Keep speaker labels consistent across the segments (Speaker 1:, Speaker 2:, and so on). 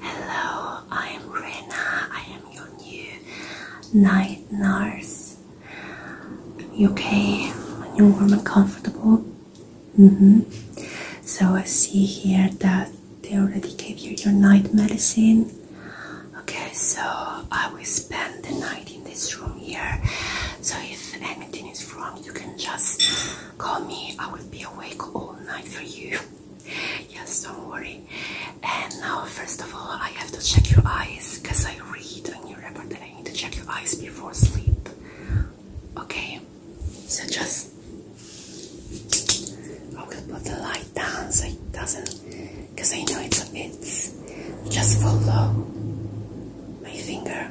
Speaker 1: Hello, I am Rena. I am your new night nurse. You okay? You're warm and comfortable? hmm So I see here that they already gave you your night medicine. Okay, so I will spend the night in this room here. So if anything is wrong, you can just call me. I will be awake all night for you. yes, don't worry. And now, first of all, I have to check your eyes because I read a new report that I need to check your eyes before sleep. Okay, so just I will put the light down so it doesn't, because I know it's a bit. Just follow my finger.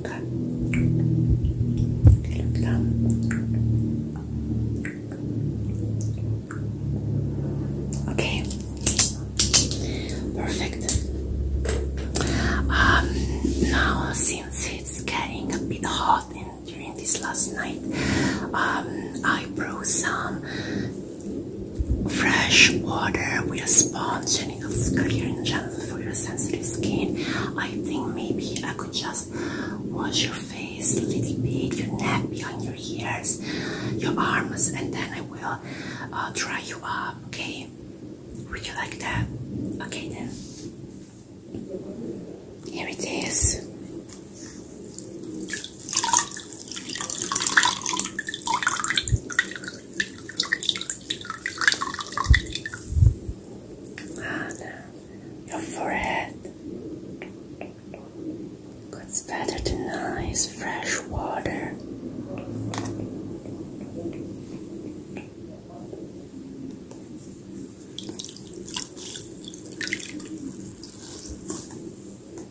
Speaker 1: Look up. Look Okay. Perfect. Um now since it's getting a bit hot during this last night, um, I brew some fresh water with a sponge Clinical Clearing Gel for your sensitive skin. I think maybe I could just wash your face a little bit, your neck, behind your ears, your arms, and then I will uh, dry you up. Okay? Would you like that? Okay then. Here it is. Anna, ah, your forehead. It's better than ice. fresh water?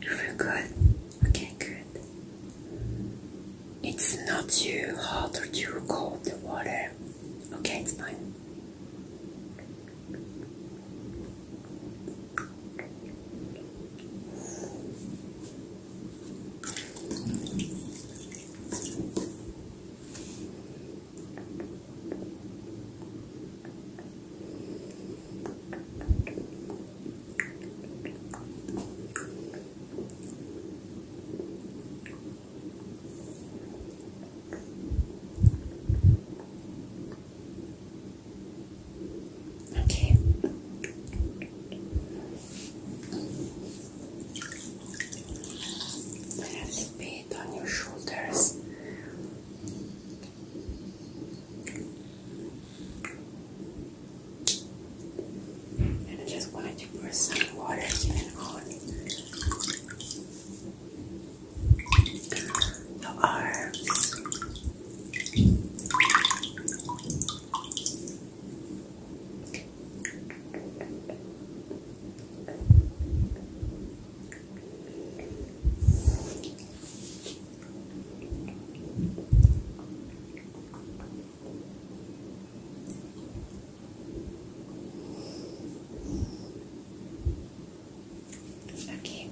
Speaker 1: You feel good? Okay, good. It's not too hot or too cold, the water. Okay, it's fine. Okay. A little bit on your shoulders. And I just wanted to pour some water and on the arms. Okay.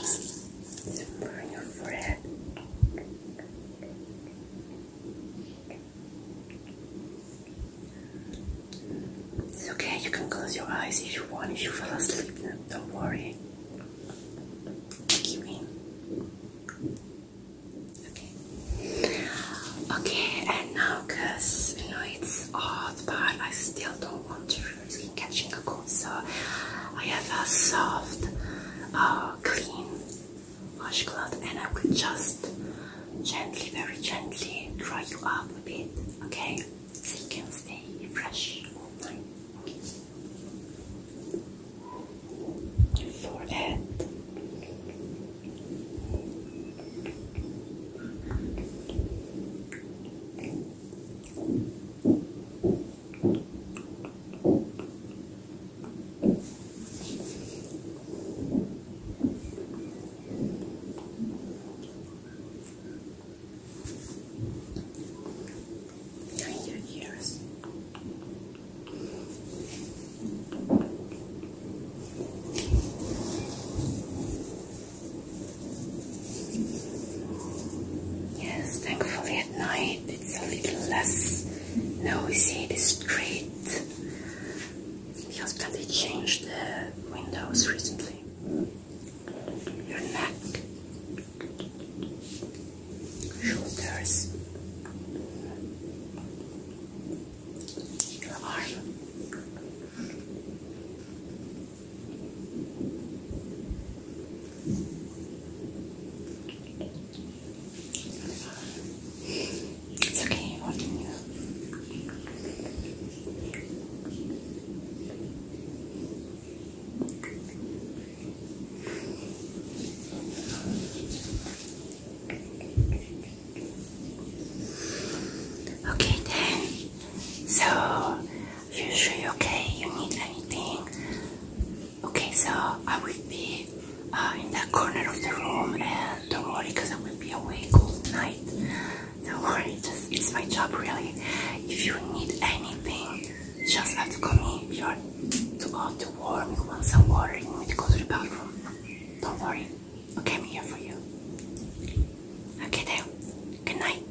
Speaker 1: So burn your forehead. Okay. It's okay, you can close your eyes if you want, if you fall asleep, don't worry. Keep in. Okay. Okay, and now because you know it's hot, but I still don't want to risk catching a cold, so I have a soft, uh, clean washcloth, and I will just gently, very gently dry you up a bit, okay? So you can stay fresh all night. Forehead. Behind your ears. Yes, thankfully at night it's a little less noisy, the street. Because they changed the windows recently. Your neck, shoulders, your arm. It's okay, what can you? Okay then, so you sure okay? You need anything? Okay, so I will be uh, in that corner of the room, and don't worry, because I will be awake all night. Don't worry, just it's my job really. If you need anything, just have to come me. you are to go to warm, you want some water, you need to go to the bathroom. Don't worry, okay, I'm here for you. Okay, then. Good night.